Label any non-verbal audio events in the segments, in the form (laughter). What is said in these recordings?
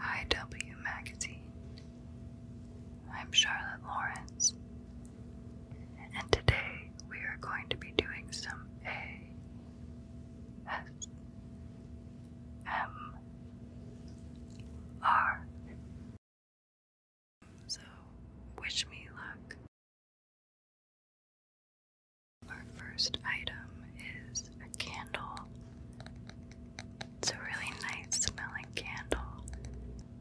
IW Magazine. I'm Charlotte Lawrence, and today we are going to be doing some A S M R. So, wish me luck. Our first item is a candle. It's a really nice smelling candle,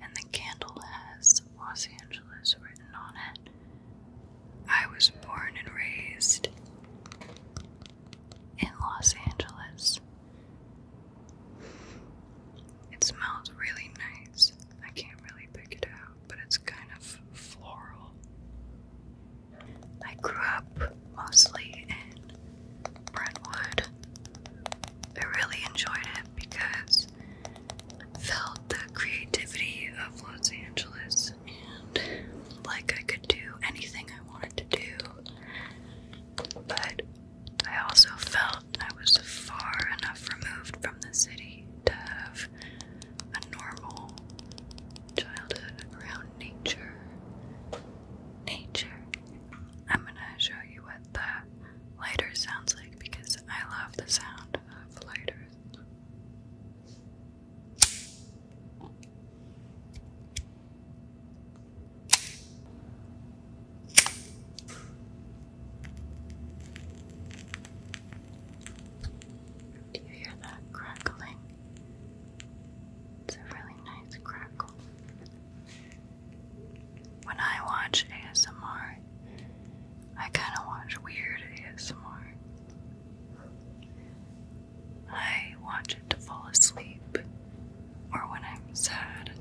and the candle has Los Angeles written on it. I was born and raised in Los Angeles. It smells really nice. I can't really pick it out, but it's kind of floral. I grew up mostly in Brentwood. I really enjoyed it because I felt the creativity of Los Angeles and like I could do anything I wanted to do. But I also felt I was far enough removed from the city to have a normal childhood around nature nature. I'm gonna show you what the lighter sounds like because I love the sound of lighters. Do you hear that crackling? It's a really nice crackle. When I watch ASMR, I kind of watch weird ASMR. I watch it to fall asleep or when I'm sad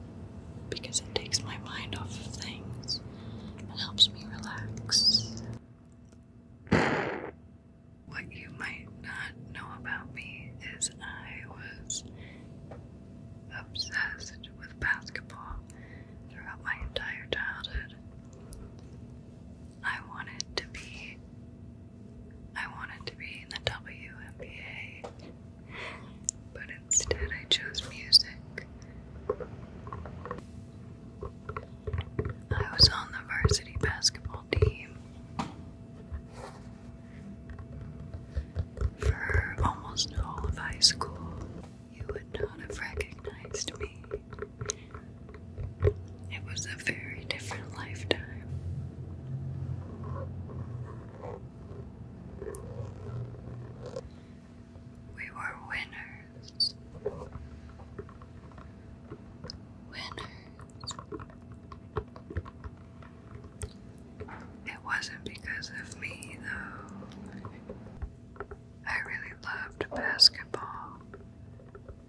because it takes my mind off things and helps me relax. What you might not know about me is I was obsessed with basketball throughout my entire childhood. I wanted to be I wanted to be in the WNBA, but instead I chose music. I was on the varsity basketball team for almost all of high school, you would not have recognized me. It was a very different lifetime. We were winners. Winners. It wasn't because of me, though. I really loved basketball,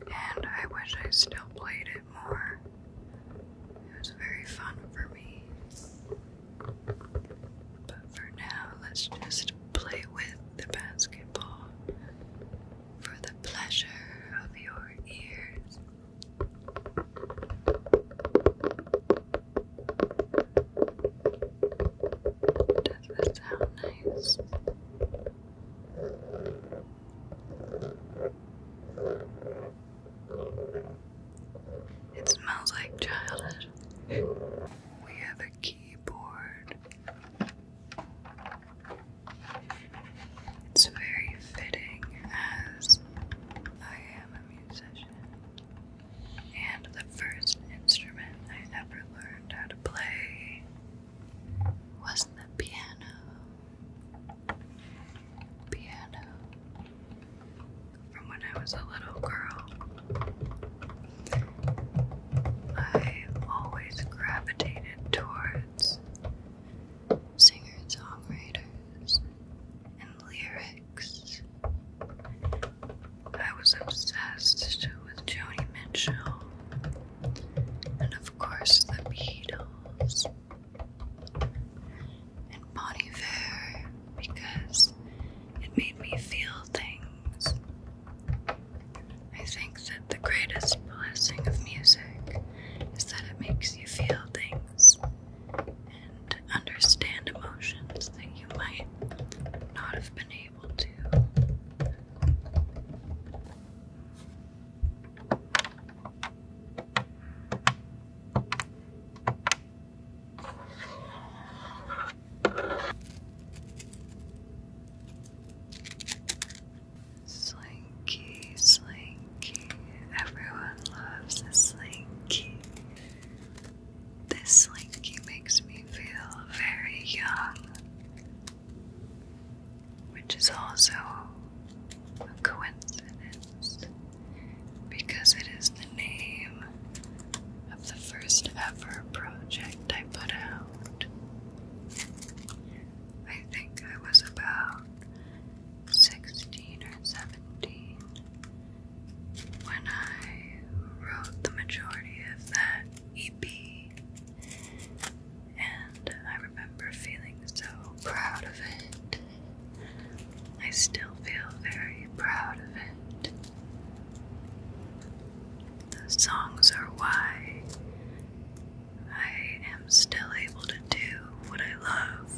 and I wish I still played it more. It was very fun for me. But for now, let's just play with the basketball for the pleasure of your ears. Does that sound nice? It smells like childhood. We have a keyboard. It's very fitting as I am a musician. And the first instrument I never learned how to play was the piano. Piano. From when I was a little girl, I always gravitated towards singer songwriters, and lyrics. I was obsessed with Joni Mitchell, and of course, the Beatles, and Bonnie Fair because it made me feel things. I think that the greatest blessing of music is that it makes you feel things and understand emotions that you might not have been able to. Slinky, Slinky, everyone loves Slinky. This Slinky makes me feel very young, which is also a coincidence because it is the name of the first ever project I put out. I think I was about 16 or 17 when I wrote the majority of that EP. And I remember feeling so proud of it. I still feel very proud of it. The songs are why I am still able to do what I love.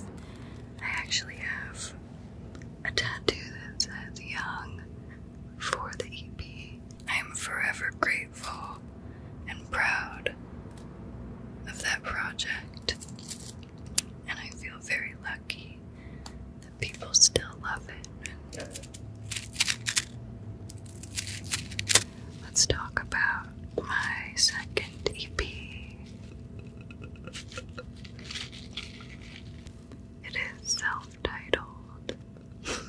I actually have a tattoo that says Young for the EP. I am forever grateful and proud of that project, and I feel very lucky that people still love it. Let's talk about my second EP. It is self titled (laughs)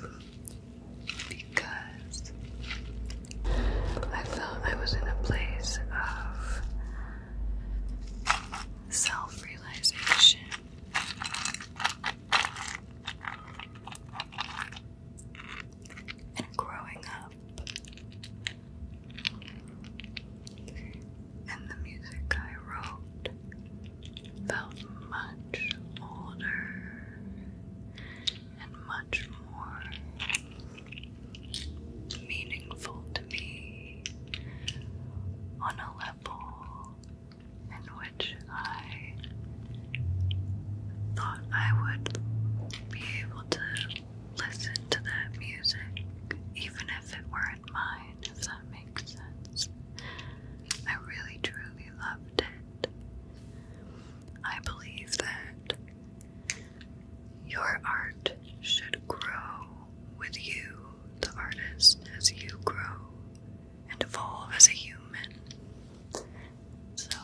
because I felt I was in a place of self realization and growing up. And the music I wrote felt much older and much more meaningful to me on a level in which I thought I would be able to listen to that music, even if it weren't mine, if that makes sense. I really truly loved it. I believe that your art should grow with you, the artist, as you grow and evolve as a human. So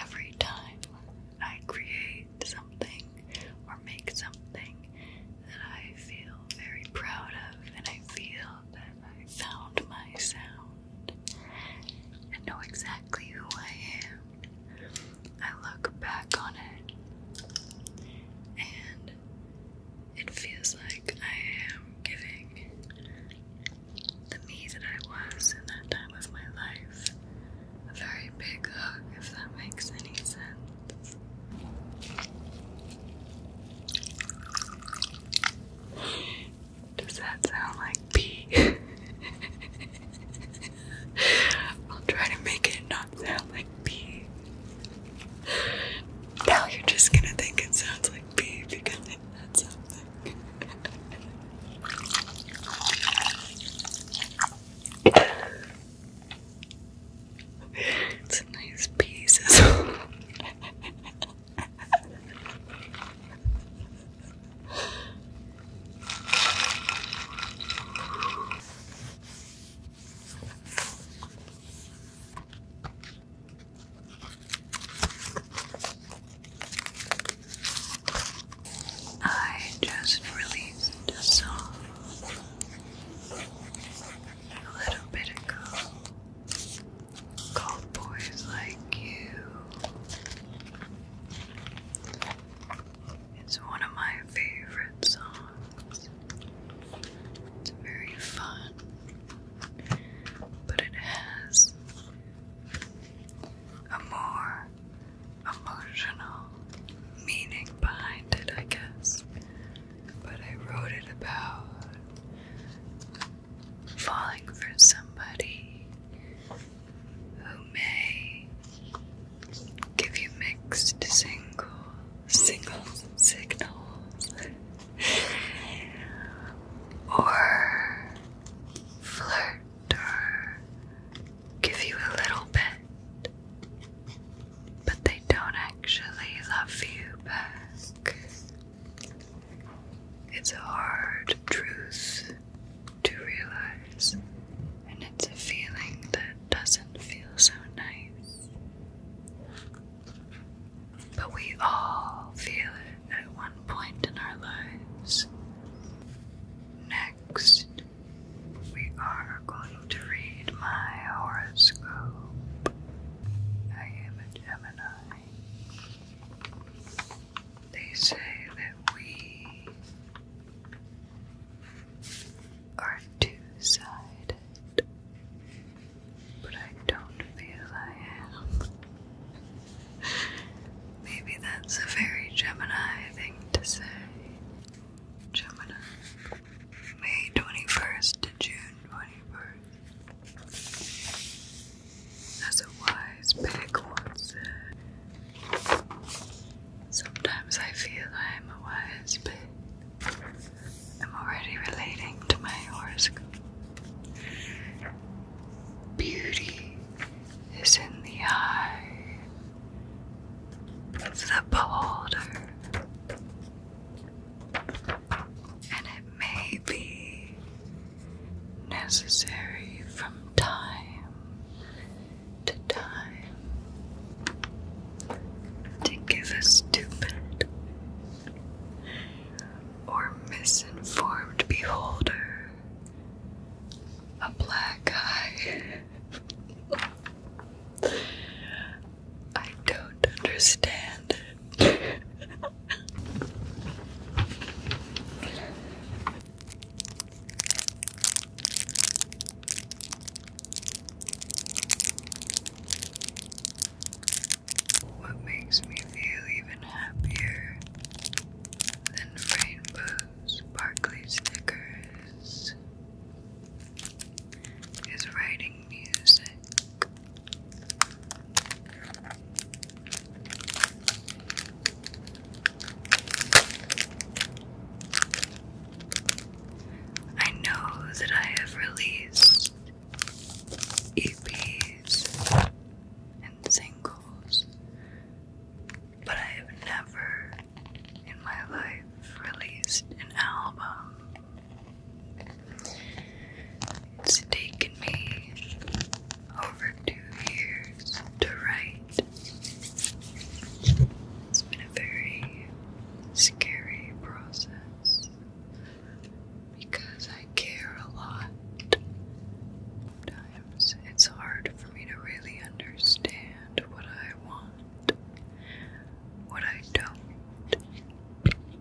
every time I create something or make something that I feel very proud of, and I feel that I found my sound and know exactly who I am, I look back on it and it feels like I am giving the me that I was in that time of my life. A very big hug, if that makes any sense. Does that sound like pee? (laughs) I'll try to make it not sound like pee. Now you're just gonna think it sounds like pee because it it's a nice piece I just released a song a little bit ago called Boys Like You. It's one of my favorite songs. It's very fun but it has a more emotional meaning behind it, I guess. But I wrote it about falling for somebody who may give you mixed single, single signals or flirt or give you a little bit, but they don't actually love you back. It's a hard truth to realize, and it's a feeling that doesn't feel so nice. But we all feel it at one point in our lives. Next, we are going to read my horoscope. I am a Gemini. They say that we are two sided but I don't feel I am. Maybe that's a very Gemini thing to say. Gemini. May 21st to June 21st. As a wise pig once said, sometimes I feel I am a wise pig. I'm already relating to my horoscope. Beauty is in the eye of the beholder, and it may be necessary from time to time to give a stupid or misinformed beholder, a black eye. I don't understand what makes me feel even happier than rainbows, sparkly stickers is writing music. I know that I have released EPs and singles, but I have never in my life released an album. It's taken me over two years to write. It's been a very scary process because I care a lot. Sometimes it's hard for me to really understand what I want, what I don't,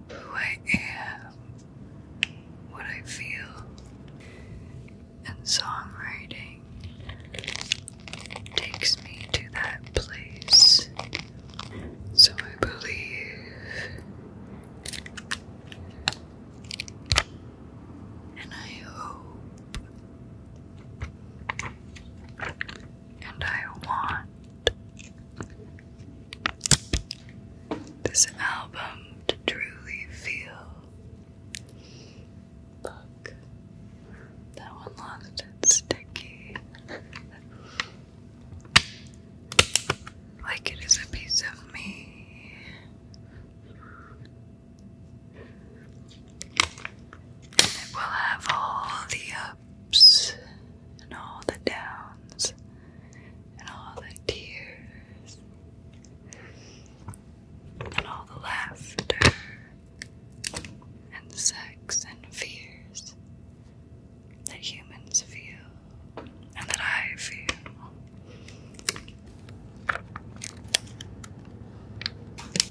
who I am, what I feel. And songwriting takes me to that place so I believe and I hope and I want this album to truly feel. that one lost sticky like it is a piece of me. And it will have all the ups and all the downs and all the tears and all the laughter and sex and fears that humans feel and that I feel.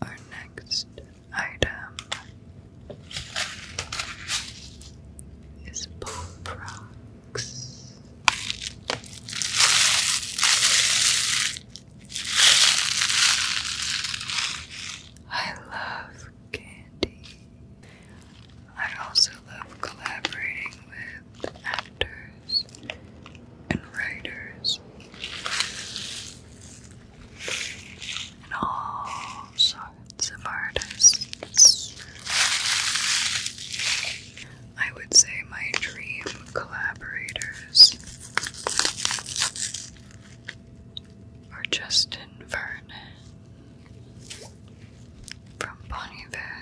Our next item is pop I love candy. I also love collaborating with actors and writers and all sorts of artists. I would say my dream collaborators are Justin Vernon from Bonnie Iver.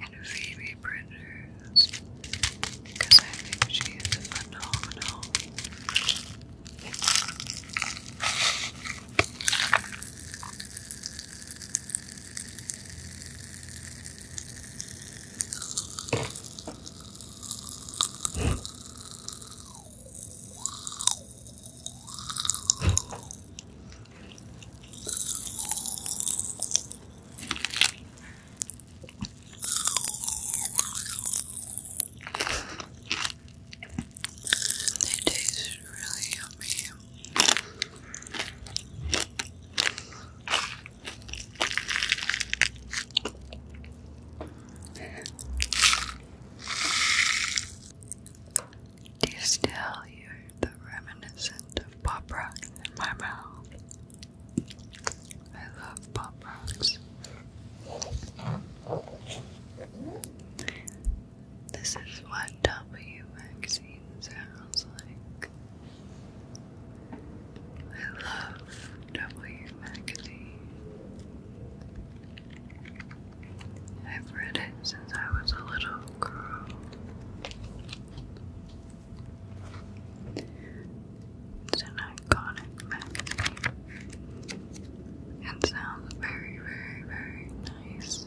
And Phoebe Bridgers, because I think she is phenomenal. They taste really yummy. Do you still hear the reminiscent of pop rocks in my mouth? I love pop rocks. This is one W magazine sounds like. I love W. Magazine. I've read it since I was a little girl. It's an iconic magazine. It sounds very, very, very nice.